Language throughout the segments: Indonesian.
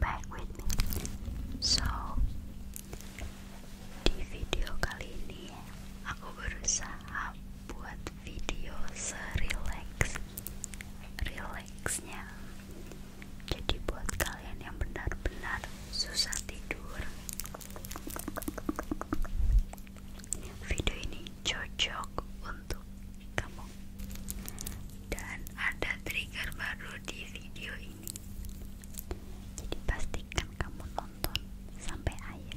Baik with me. So di video kali ini aku berusaha buat video serileks rileksnya. Jadi buat kalian yang benar-benar susah tidur Video ini cocok untuk kamu dan ada trigger baru di video ini jadi pastikan kamu nonton sampai akhir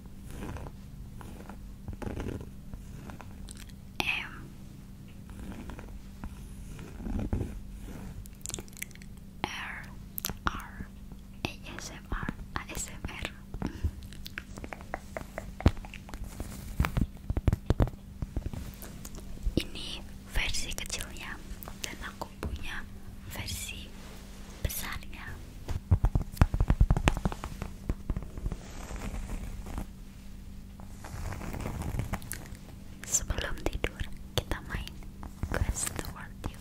M R R ASMR ASMR ini versi kecilnya dan aku punya versi besarnya Sebelum tidur, kita main Guess the word you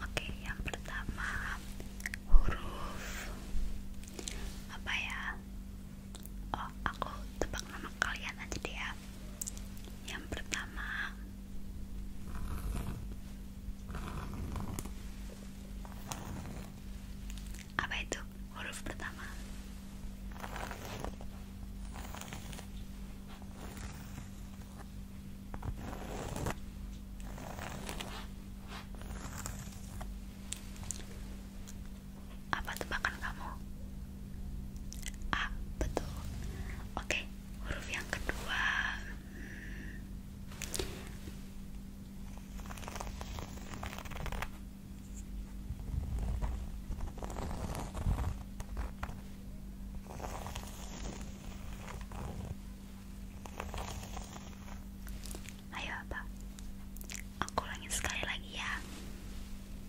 Oke, yang pertama huruf apa ya? Oh, aku tebak nama kalian aja deh ya. Yang pertama apa itu huruf pertama? Apa tebakan kamu? A, betul. Oke, huruf yang kedua. Ayo apa? Aku ulangi sekali lagi ya.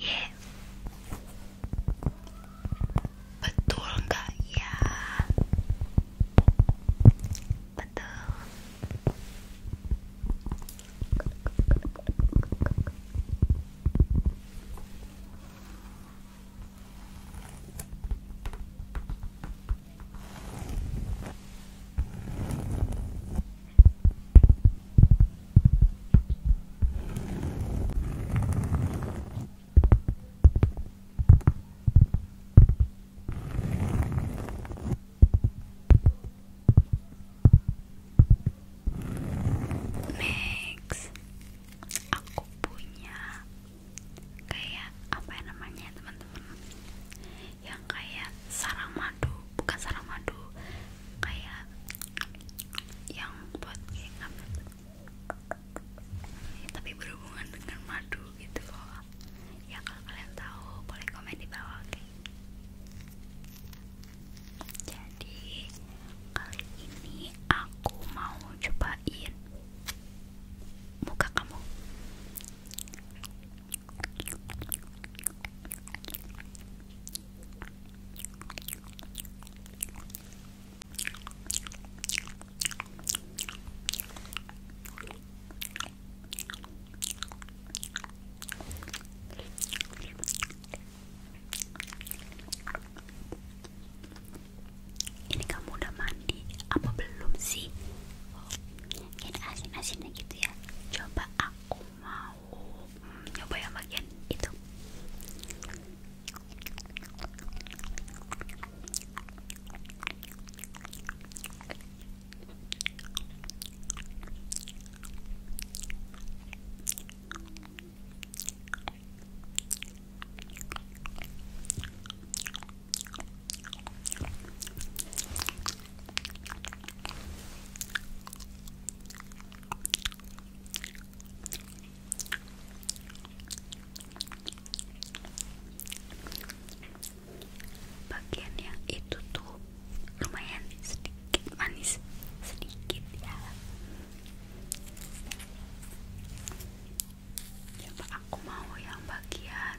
Iya. Betul nggak ya? Betul. Next, aku punya kayak apa ya namanya teman-teman yang kayak sarang madu, bukan sarang madu, kayak yang buat kayak tapi berhubungan dengan madu gitu ya kalau kalian tahu boleh komen di bawah jadi kali ini aku mau cobain muka kamu ini kamu udah mandi apa belum sih? Oh, asin-asinnya gitu ya. Coba aku mau mau mm, nyoba yang bagian itu bagian yang itu tuh lumayan sedikit manis sedikit ya coba aku mau yang bagian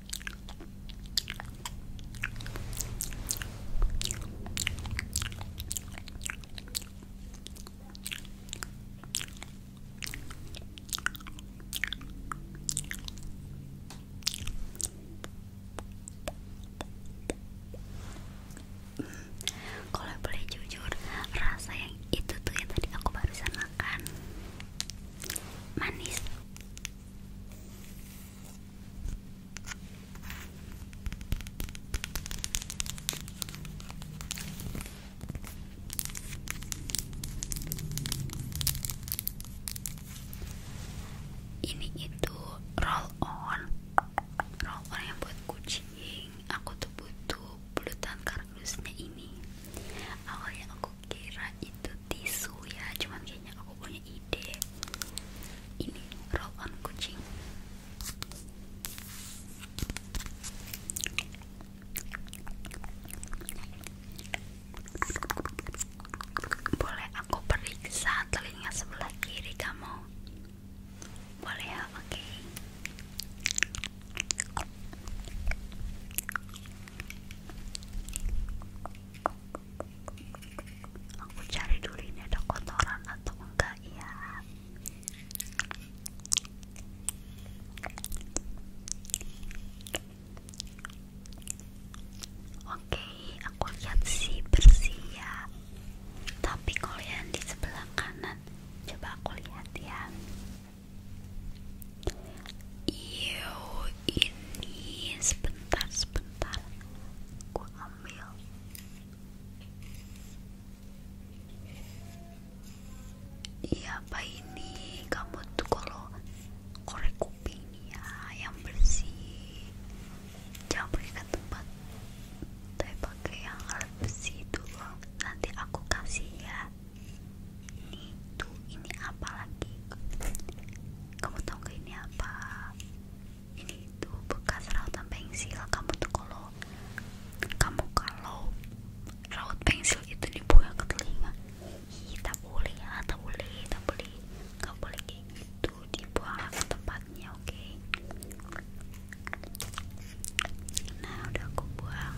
Kalau boleh jujur, rasa yang itu tuh yang tadi aku barusan makan manis ini itu roll on roll on yang buat kucing aku tuh butuh bulutan kardusnya ini awalnya aku kira itu tisu ya cuman kayaknya aku punya ide ini roll on kucing boleh aku periksa telinga sebelah kiri kamu boleh ya oke Aku cari dulu ini ada kotoran atau enggak ya. Oke, aku lihat sih bersih ya. Tapi kalian di sebelah kanan, coba aku lihat ya. Yo, ini sebentar sebentar gua ambil. Iya, apa ini? Kamu tuh kalau korek kupingnya yang bersih jangan pakai ke tempat tapi pakai yang alat besi dulu nanti aku kasih ya ini Tuh ini apa lagi? Kamu tahu gak ini apa? Ini tuh bekas rautan pensil. Kamu tuh kalau kamu kalau raut pensil itu dibuang ke telinga, Ih, tak boleh ya, tak boleh, tak boleh, gak boleh kayak gitu dibuang ke tempatnya, oke? Nah udah aku buang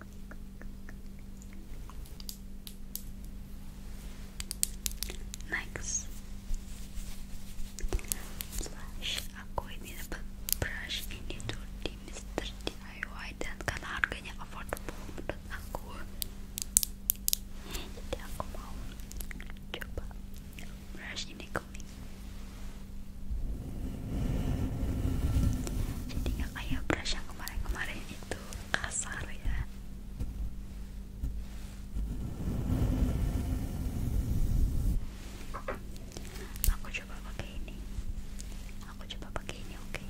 Next, Aku ini dapat ini tuh di Mister DIY dan karena aku, jadi aku mau coba brush ini kuning jadi nggak kayak brush yang kemarin-kemarin itu kasar ya aku coba pakai ini aku coba pakai ini oke Oke,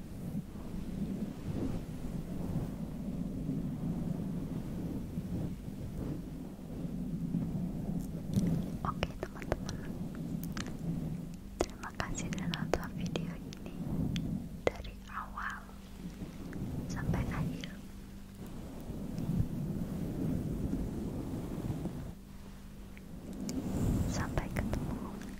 Oke teman-teman Terima kasih sudah nonton video ini Dari awal Sampai akhir Sampai ketemu